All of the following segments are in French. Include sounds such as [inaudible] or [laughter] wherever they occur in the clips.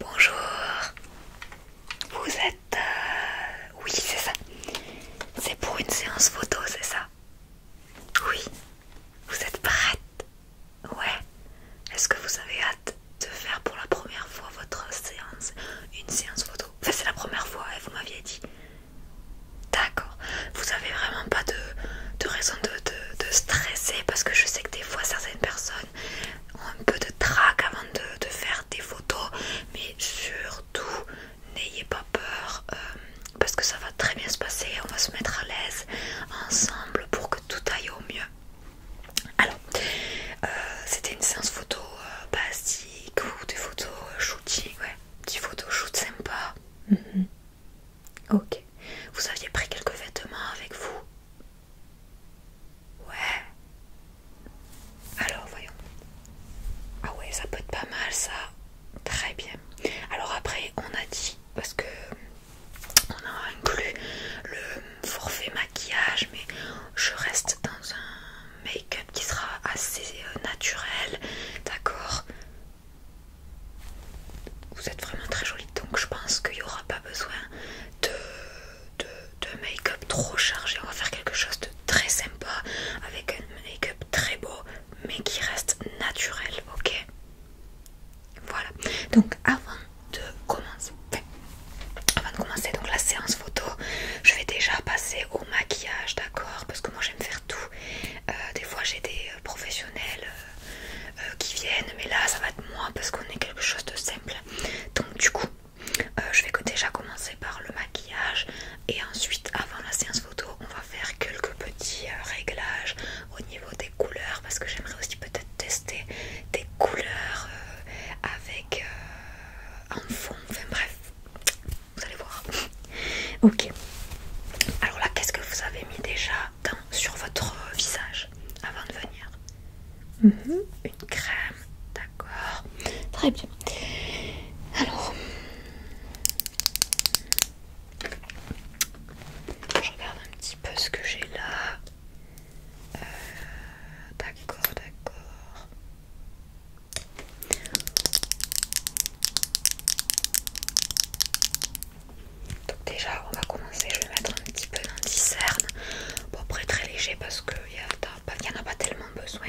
Bonjour, vous êtes... Euh, oui, c'est ça. C'est pour une séance photo, c'est ça Oui. Vous êtes prête Ouais. Est-ce que vous avez hâte de faire pour la première fois votre séance Une séance photo c'est la première fois et vous m'aviez dit. D'accord. Vous avez vraiment pas de, raison de, stresser parce que je sais que des fois certaines personnes ont un peu de trac avant de, faire des photos. Mais surtout, n'ayez pas peur euh, parce que ça va très bien se passer. On va se mettre à l'aise ensemble pour que tout aille au mieux. Alors, euh, c'était une séance photo euh, pas des photos euh, shooting, ouais, petit photos shoot sympa. Mhm. Ok. Vous aviez pris quelques vêtements avec vous Ouais. Alors voyons. Ah ouais, ça peut être pas mal ça. Très bien. Alors après, on a dit parce que euh, on a inclus le forfait maquillage, mais je reste dans un make-up qui sera assez euh, naturel, d'accord Vous êtes vraiment très jolie, donc je pense qu'il n'y aura pas besoin de make-up trop chargé. On va faire quelque chose de très sympa, avec un make-up très beau, mais qui reste naturel, ok voilà, donc avant de commencer, avant de commencer donc la séance photo, je vais déjà passer au maquillage, d'accord Parce que moi j'aime faire tout. Euh, des fois j'ai des euh, professionnels euh, qui viennent, mais là ça va être moi parce qu'on est quelque chose de simple. Donc du coup, je vais déjà commencer par le maquillage et ensuite avant la séance photo, on va faire quelques petits réglages au niveau des couleurs parce que j'aimerais aussi peut-être tester des couleurs avec en fond, enfin bref, vous allez voir. ok, alors là, qu'est-ce que vous avez mis déjà sur votre euh, visage avant de venir mhm. Une crème, d'accord, très bien. Alors, je regarde un petit peu ce que j'ai là. Euh, d'accord, d'accord. Donc déjà on va commencer, je vais mettre un petit peu d'anticerne. Bon après très léger parce qu'il n'y en a pas tellement besoin.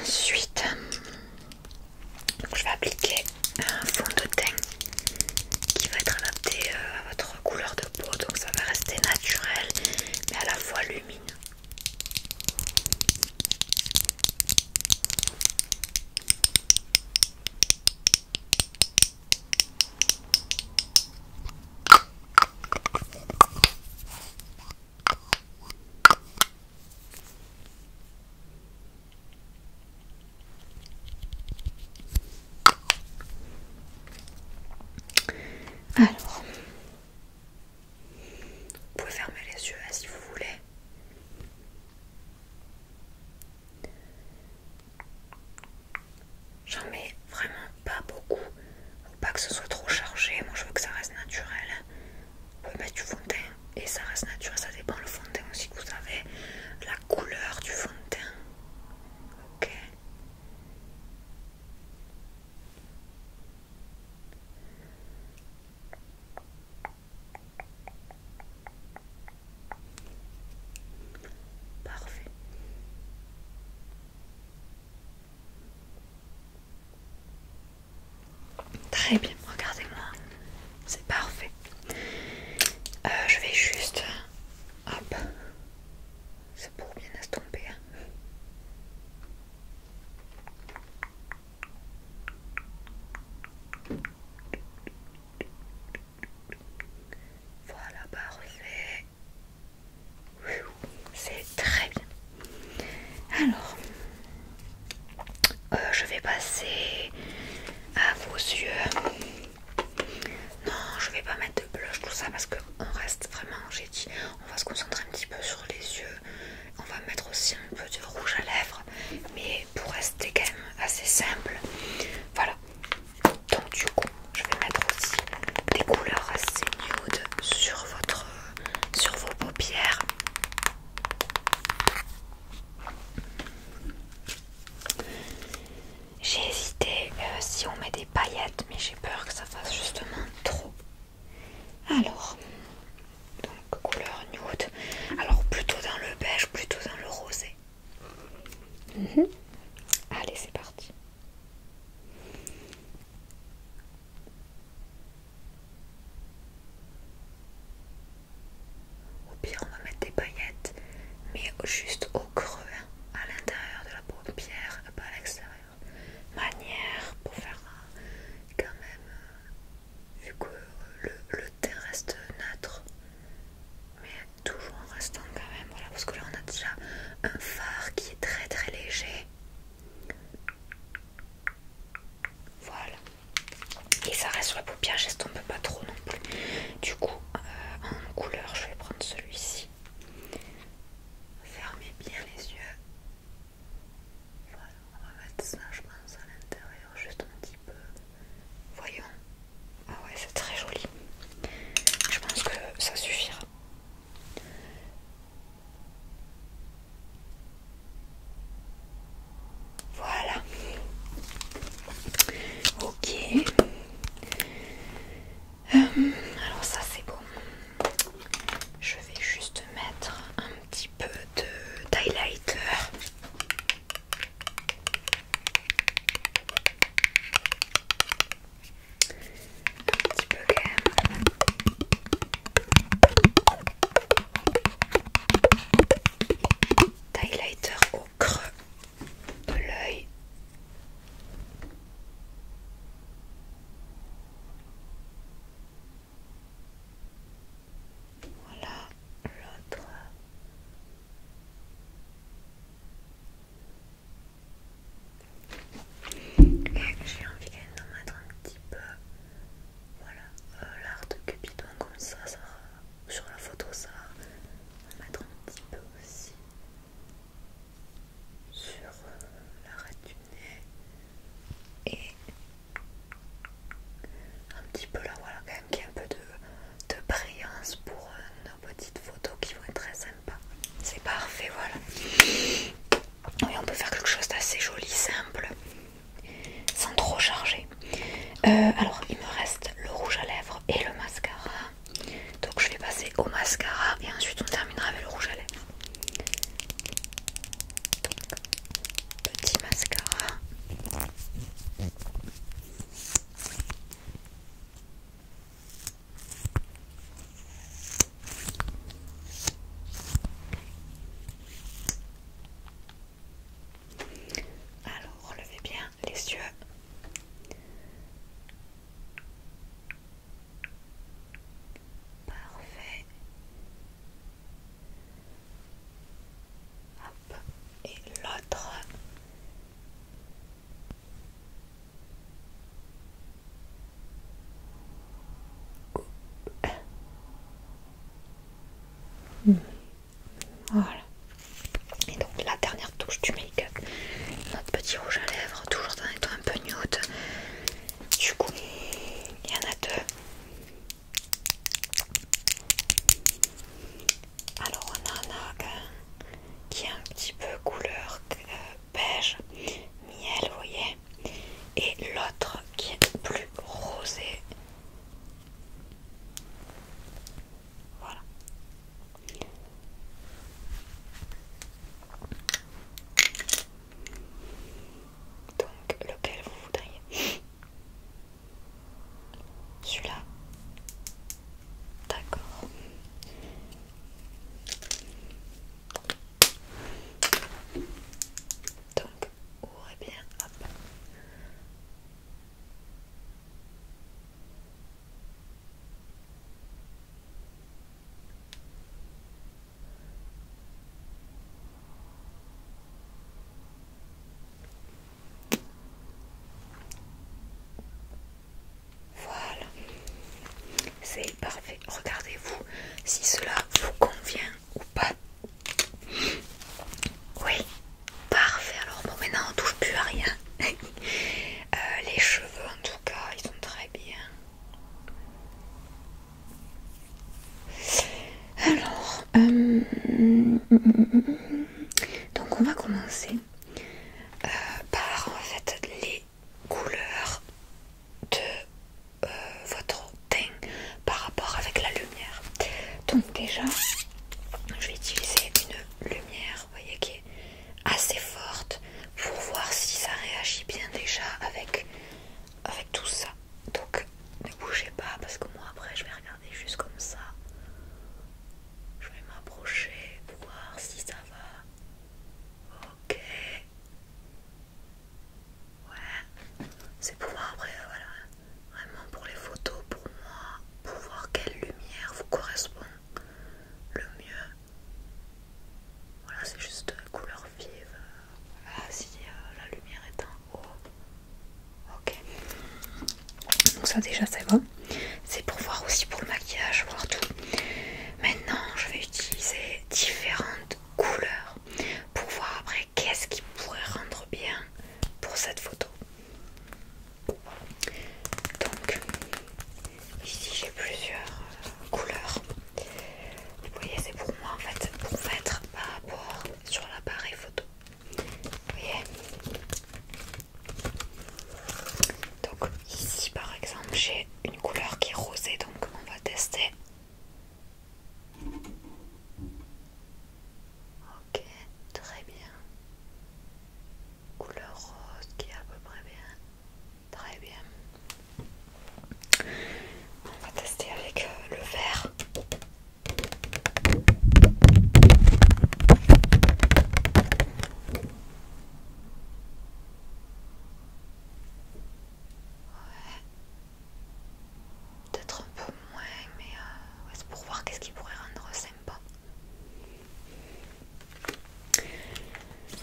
Ensuite, je vais appliquer un fond de teint qui va être adapté euh, à votre couleur de peau, donc ça va rester naturel mais à la fois lumineux. Alors, vous pouvez fermer les yeux si vous voulez. J'en mets vraiment pas beaucoup. Pas que ce soit trop chargé, moi je veux que ça reste naturel. Vous pouvez mettre du fond de teint et ça reste naturel, ça dépend le fond de teint aussi que vous avez, la couleur du fond de teint. Ok. Parfait. Très bien, regardez-moi. C'est parfait. Euh, je vais juste... Hop. C'est pour bien estomper. Hein. Voilà, parfait. C'est très bien. Alors, euh, je vais passer à vos yeux. Non, je vais pas mettre de blush, tout ça, parce qu'on reste vraiment, j'ai dit, on va se concentrer un petit peu sur les yeux. On va mettre aussi un peu de rouge à lèvres, mais pour rester quand même assez simple. Voilà. Donc du coup, je vais mettre aussi des couleurs assez nude sur votre sur vos paupières. J'ai hésité euh, si on met des paillettes, mais j'ai peur que ça fasse justement trop. Alors, donc couleur nude, alors plutôt dans le beige, plutôt dans le rosé. Mhm. Allez, c'est parti. Au pire, on va mettre des paillettes, mais juste au creux, hein, à l'intérieur de la peau de pierre, pas à l'extérieur. Manière pour faire quand même, euh, vu que le, le teint reste neutre, mais toujours en restant quand même, voilà, parce que là on a déjà un fard qui est très très léger. Voilà. Et ça reste sur la paupière, j'estompe pas trop non plus. Du coup, euh, en couleur, je vais prendre celui-ci. Fermez bien les yeux. Voilà, on va mettre ça, je pense, à l'intérieur, juste un petit peu. Voyons. Ah ouais, c'est très joli. Je pense que ça suffira. Voilà. Ok. Euh, alors ça c'est bon. Je vais juste mettre un petit peu de highlighter un petit peu quand même. Highlighter au creux de l'œil. Voilà l'autre. j'ai envie d'en mettre un petit peu voilà, euh, l'art de Cupidon comme ça, ça sur la photo ça va mettre un petit peu aussi sur euh, l'arrêt du nez et un petit peu là voilà quand même qu'il y a un peu de, brillance pour euh, nos petites photos qui vont être très sympas. C'est parfait voilà. Oui, on peut faire quelque chose d'assez joli, simple, sans trop charger. Euh, alors, il me reste le rouge à lèvres et le mascara. Donc, je vais passer au mascara et ensuite on terminera avec le rouge à lèvres. petit mascara. Alors, relevez bien les yeux. Parfait. Et l'autre. Voilà. Et donc la dernière touche du make-up, notre petit rouge à lèvres, toujours dans un un peu nude. Du coup, il y en a deux. Alors on en a un qui est un petit peu couleur euh, beige miel, vous voyez, et l'autre qui est plus rosé. Voilà. Donc lequel vous voudriez Celui-là. D'accord. Donc, ouvrez bien, hop. Voilà c'est parfait. Regardez-vous si cela vous convient ou pas. Oui, parfait. Alors bon, maintenant on touche plus à rien. [laughs] Euh, les cheveux en tout cas, ils sont très bien. Alors, euh, donc on va commencer euh, par en fait les couleurs de euh, votre teint par rapport avec la lumière. Donc déjà, je vais utiliser une lumière, voyez, qui est assez forte pour voir si ça réagit bien déjà avec, avec tout ça. Donc ne bougez pas parce que moi après je vais regarder juste comme ça. Je vais m'approcher pour voir si ça va. Ok, Ouais, c'est pour voir après, euh, voilà, vraiment pour les photos, pour moi, pour voir quelle lumière vous correspond le mieux. Voilà, c'est juste couleur vive. si euh, la lumière est en haut. Ok. Donc ça déjà c'est bon. C'est pour voir aussi pour le maquillage, voir tout. Maintenant, je vais utiliser différentes couleurs pour voir après qu'est-ce qui pourrait rendre bien pour cette photo. Donc ici j'ai plusieurs euh, couleurs. Vous voyez c'est pour moi en fait pour mettre par rapport sur l'appareil photo. Vous voyez donc ici par exemple j'ai une couleur qui est rosée donc on va tester Ok, très bien. Couleur rose qui est à peu près bien. Très bien. On va tester avec euh, le vert. Ouais. Peut-être un peu moins, mais euh, c'est pour voir qu'est-ce qui pourrait rendre sympa.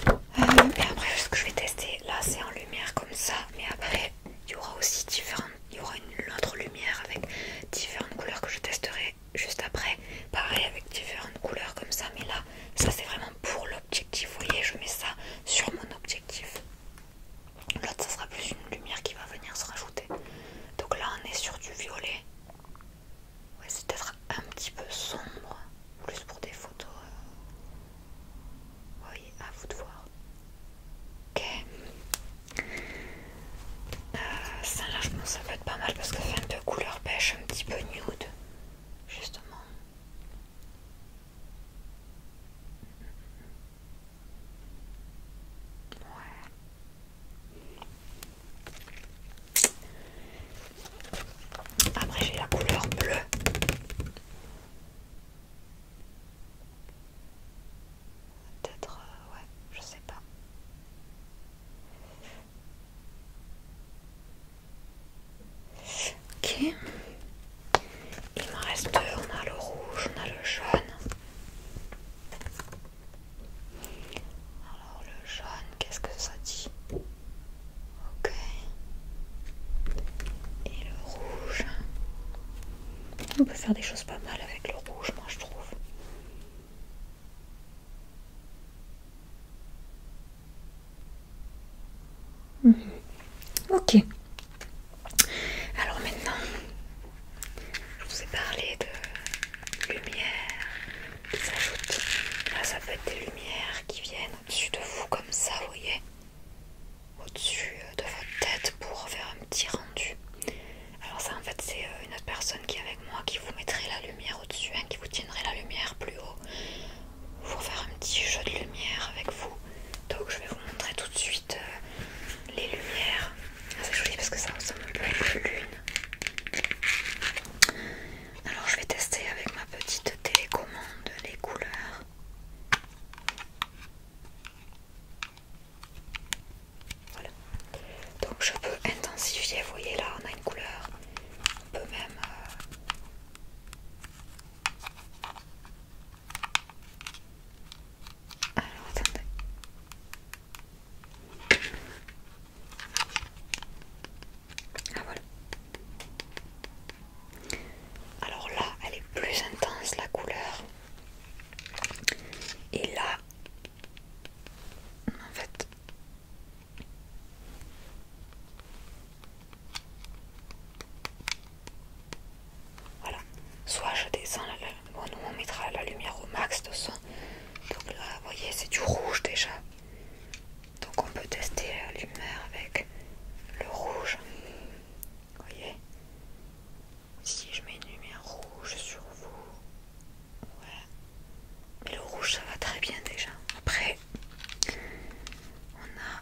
Euh, et après, ce que je vais tester là, c'est en lumière comme ça, mais après, il y aura aussi différentes. Il y aura une autre lumière avec différentes couleurs que je testerai juste après. Pareil avec différentes couleurs comme ça, mais là, ça c'est vraiment pour le objectif. Vous voyez, je mets ça sur mon objectif. L'autre, ça sera plus une lumière qui va venir se rajouter. Donc là, on est sur du violet. Ouais, c'est peut-être un petit peu sombre, plus pour des photos. Euh. Oui, voyez, à vous de voir. Ok. Euh, ça, largement, ça peut être pas mal parce que c'est un couleur pêche, un petit peu nude, justement. Après j'ai la couleur bleue. Peut-être, euh, ouais, je sais pas. Ok. Il me reste deux. On a le rouge, on a le jaune. Alors le jaune, qu'est-ce que ça dit Ok. Et le rouge. On peut faire des choses pas mal avec le rouge, moi je trouve. Mhm. Ok. Alors maintenant, je vous ai parlé de lumière qui ça peut être des lumières qui viennent au-dessus de vous comme ça, vous voyez au-dessus euh, de votre tête pour faire un petit rendu. Alors ça en fait c'est euh, une autre personne qui est avec moi qui vous mettrait la lumière au-dessus, hein, qui vous tiendrait la lumière plus haut pour faire un petit jeu de lumière avec vous. Donc je vais vous montrer tout de suite euh, les lumières. Ah, c'est joli parce que ça ressemble un peu à la lune. Alors je vais tester avec ma petite télécommande les couleurs. Voilà. Donc je peux intensifier, vous voyez là on a une couleur, on peut même euh, alors ah, Alors là, elle est plus intense la couleur. Et là, en fait, voilà. Soit je descends la, bon, on mettra la lumière au max de son. Donc là, vous voyez, c'est du rouge déjà. Donc on peut tester la lumière avec le rouge. Vous voyez Si je mets une lumière rouge sur vous. Ouais. Mais le rouge ça va très bien déjà. Après, on a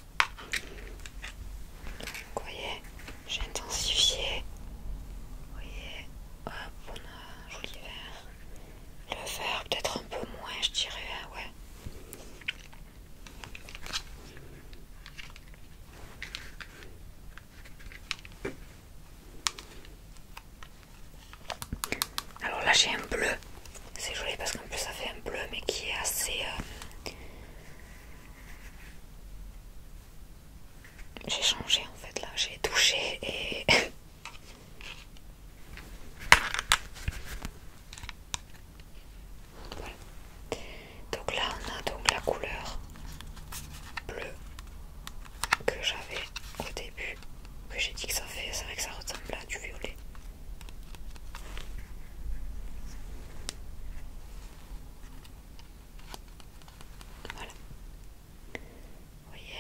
Vous voyez, j'ai intensifié. Vous voyez, hop, on a un joli vert. Le vert, peut-être un peu moins, je dirais, hein, ouais. Alors là j'ai un bleu, c'est joli parce qu'en plus ça fait un bleu mais qui est assez euh, j'ai changé en fait là, j'ai touché et... [laughs] voilà. Donc là on a donc la couleur bleue que j'avais au début, que j'ai dit que ça fait, c'est vrai que ça ressemble à du violet. Voilà. Vous voyez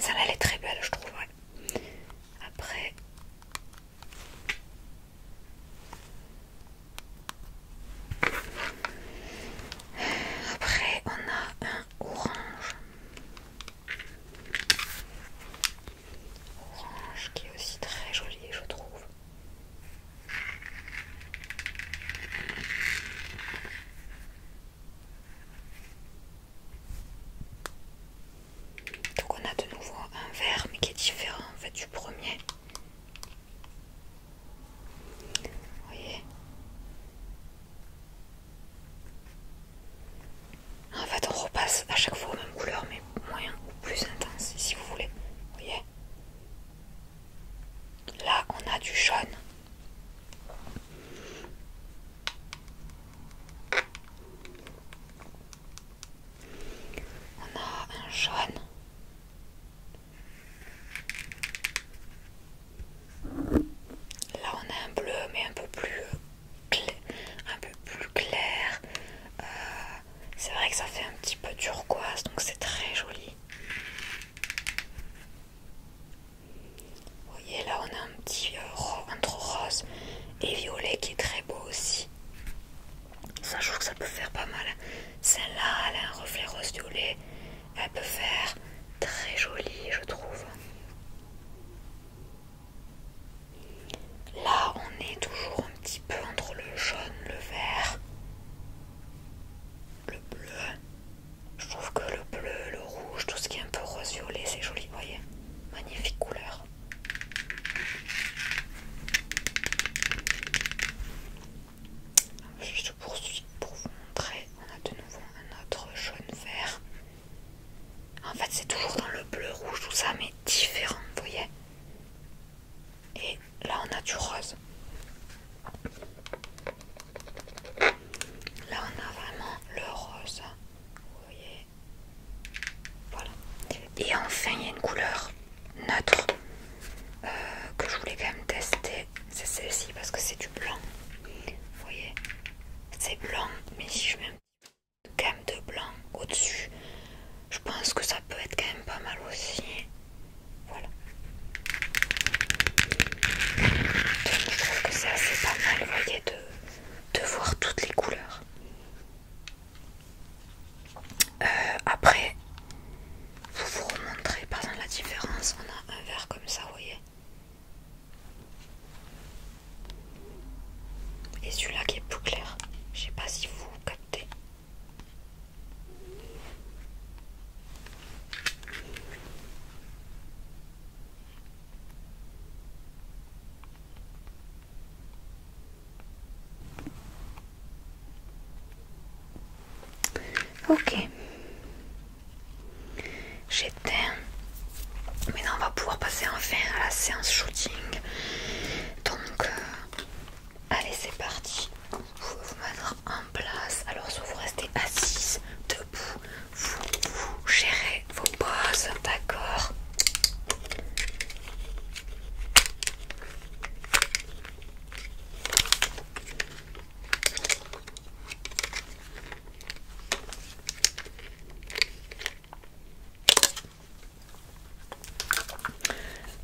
Ça là elle est très belle, je trouve. Après... Après, on a un orange. Orange qui est aussi très joli, je trouve. Donc on a de nouveau un vert mais qui est différent en fait du premier. Vous voyez ah, En fait on repasse à chaque fois aux mêmes couleurs mais moyen ou plus intense si vous voulez. voyez Là, on a du jaune. On a un jaune. Là, on a un bleu, mais un peu plus clair, un peu plus clair, euh, c'est vrai que ça fait un petit peu turquoise, donc c'est très joli. Vous voyez là on a un petit euh, rose un rose et violet qui est très beau aussi. Ça je trouve que ça peut faire pas mal. Celle-là, elle a un reflet rose violet. Elle peut faire très jolie je trouve. Là, on est toujours un petit peu entre le jaune, le vert, le bleu. Je trouve que le bleu, le rouge, tout ce qui est un peu rose-violet, c'est joli, vous voyez Magnifique couleur. Je poursuis pour vous montrer. On a de nouveau un autre jaune-vert. En fait, c'est toujours dans le bleu-rouge, tout ça, mais différent, vous voyez et là, on a du rose. Là, on a vraiment le rose. Vous voyez Voilà. Et enfin, il y a une couleur neutre euh, que je voulais quand même tester. C'est celle-ci parce que c'est du blanc. Vous voyez C'est blanc, mais si je mets un gamme de blanc au-dessus. Je pense que ça peut être quand même pas mal aussi. Voilà. Donc, je trouve que c'est assez pas mal, voyez, de, de voir toutes les couleurs. Euh, après, pour vous remontrer par exemple la différence, on a un vert comme ça, vous voyez. Et celui-là qui est plus clair. Je sais pas si vous Ok, j'éteins. Maintenant, on va pouvoir passer enfin à la séance shooting. Donc, euh, Allez, c'est parti. Vous pouvez vous mettre en place. Alors, soit vous restez assis, debout, vous, gérez vos poses, d'accord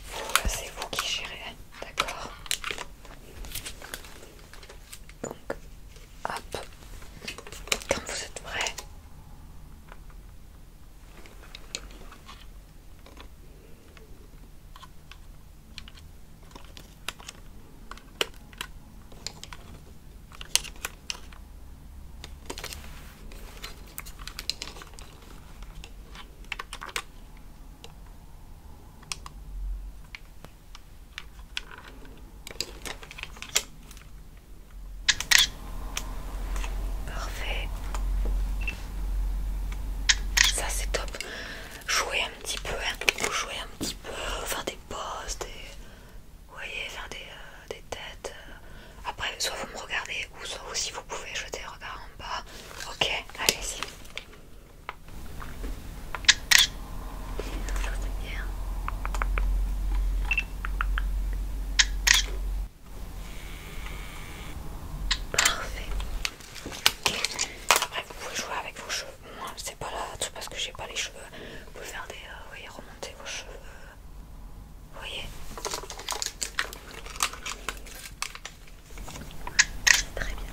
bah, c'est vous qui gérez, d'accord Donc, hop, quand vous êtes prêt. Parfait. Ça c'est top. Jouer un petit peu, hein. jouer un petit peu, faire des pauses, des... Vous voyez, faire des... Euh, euh, des têtes. Euh. Après, soit vous me regardez, ou soit aussi vous pouvez jeter un regard en bas. Ok, allez-y. Parfait. Après, vous pouvez jouer avec vos cheveux. Moi, c'est pas là tout parce que j'ai pas les cheveux. Vous pouvez faire des, euh, remonter vos cheveux, vous voyez Très bien.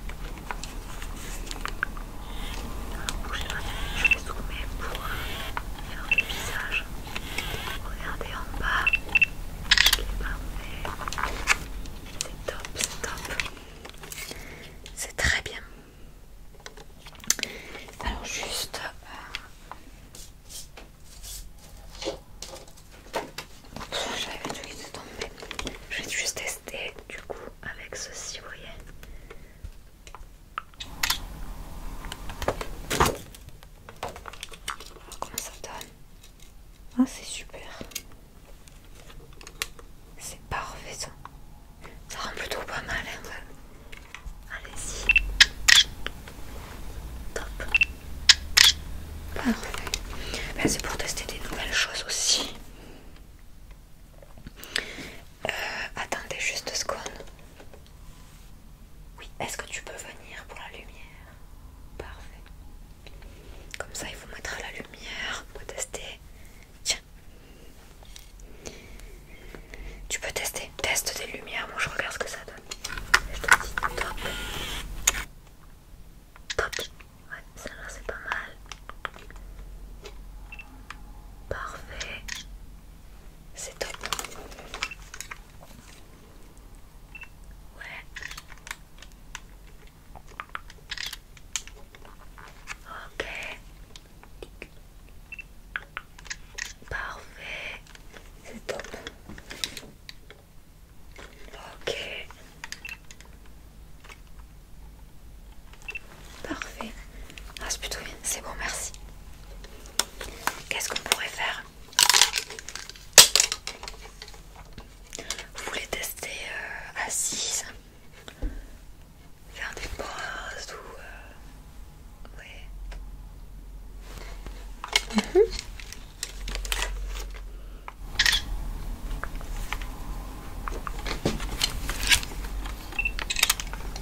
bougez je vais zoomer pour faire le visage. Regardez en bas. C'est top, c'est top. C'est très bien. Alors juste, j'avais truc qui mais je vais juste tester du coup avec ceci, vous voyez. Comment ça donne Ah, c'est super. C'est parfait ça. Ça rend plutôt pas mal. Hein, Allez-y. Top. Parfait. Ben, c'est pour tester des nouvelles choses aussi. Euh, attendez juste deux secondes. Oui, est-ce que tu peux venir pour la lumière Parfait. Comme ça, il vous mettre la lumière pour tester. Tiens. Tu peux tester. Teste des lumières. Moi, je regarde ce que ça donne. C'est top. Top. Ouais, ça là c'est pas mal. Parfait. C'est top. Ouais. Ok. Parfait, c'est top. Ok. Parfait. Ah, c'est plutôt bien. C'est bon, merci. Qu'est-ce qu'on pourrait faire Vous voulez tester assise euh, Faire des bras ou... Euh, Ouais.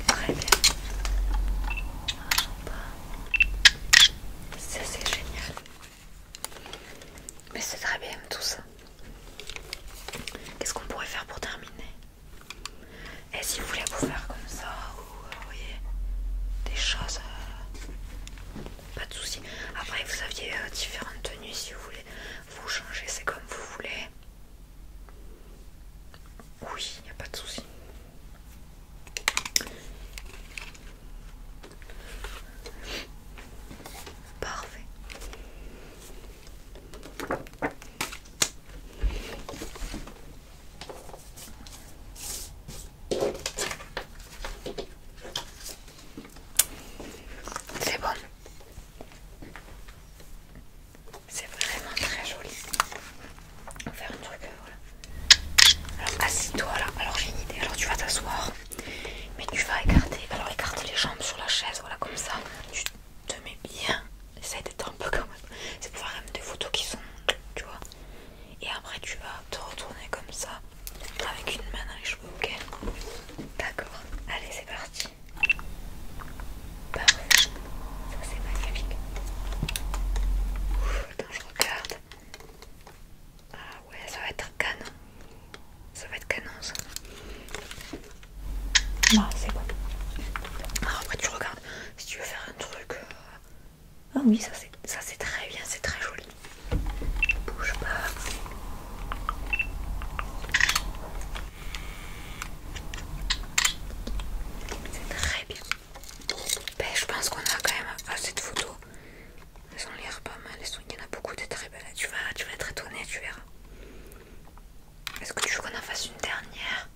Très bien. c'est génial. Mais c'est très bien tout ça. Qu'est-ce qu'on pourrait faire pour terminer Et eh, si vous voulez vous faire comme ça voyez des choses euh, pas de soucis après vous aviez euh, différentes tenues si vous voulez vous changer c'est comme vous voulez oui il n'y a pas de soucis Parfait. C'est bon. C'est vraiment très joli. On va faire un truc. Euh, Alors assis-toi là. Alors j'ai une idée. Alors tu vas t'asseoir. Mais tu vas écarter. Alors écarter les jambes sur la chaise. Voilà comme ça. Tu te mets bien. Essaye d'être un peu comme. même. C'est pour faire même des photos qui sont. Tu vois et après tu vas te retourner comme ça avec une main dans les cheveux, ok D'accord, allez c'est parti. Parfait, ça c'est magnifique. Ouf, attends, je regarde. Ah ouais, ça va être canon. Ça va être canon ça. Ah, c'est bon. Alors après tu regardes si tu veux faire un truc euh, ah oui, ça c'est très bien, c'est très joli. Bouge pas. C'est très bien. Ben, je pense qu'on a quand même assez de photos. Elles ont l'air pas mal. Il y en a beaucoup de très belles. Tu vas, tu vas être étonnée, tu verras. Est-ce que tu veux qu'on en fasse une dernière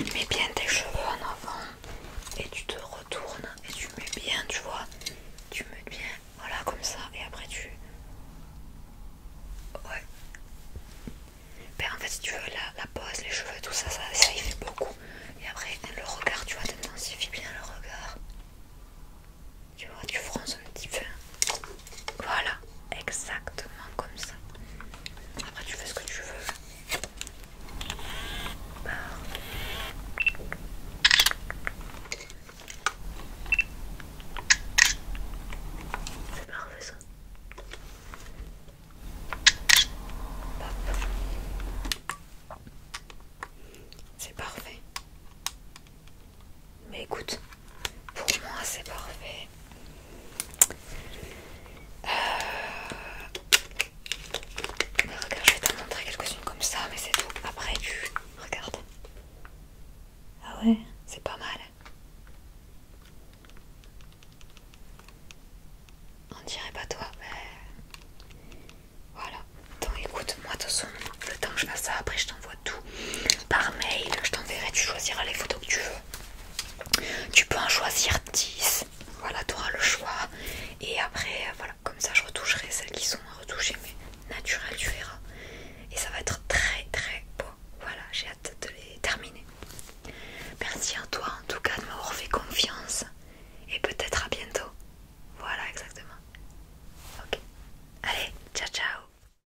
Mets bien tes cheveux en avant et tu te retournes et tu mets bien, tu vois. Tu mets bien, voilà, comme ça. Et après tu... Ouais. Ben, en fait, si tu veux, la, la pose, les cheveux, tout ça, ça, ça y fait beaucoup. Et après, hein, le regard, tu vois, t'intensifies bien le regard. Tu vois, tu fronces un petit peu. Voilà, exactement comme ça. Après, tu fais ce que tu veux. Bah. C'est parfait ça. C'est parfait. Mais écoute, pour moi c'est parfait. Euh, regarde, je vais t'en montrer quelques-unes comme ça, mais c'est tout. Après, tu Ah ouais, c'est pas mal. On dirait pas toi, mais voilà. Donc écoute, moi de toute façon, le temps que je fasse ça, après je tout par mail. Je t'enverrai, tu choisiras les photos que tu veux. Tu peux en choisir 10. Voilà, tu auras le choix. Et après, euh, voilà, comme ça, je retoucherai celles qui sont à retoucher, mais naturelles, tu verras. Et ça va être très très beau. Voilà, j'ai hâte de les terminer. Merci à toi en tout cas de m'avoir fait confiance. Et peut-être à bientôt. Voilà, exactement. Ok. Allez, ciao ciao.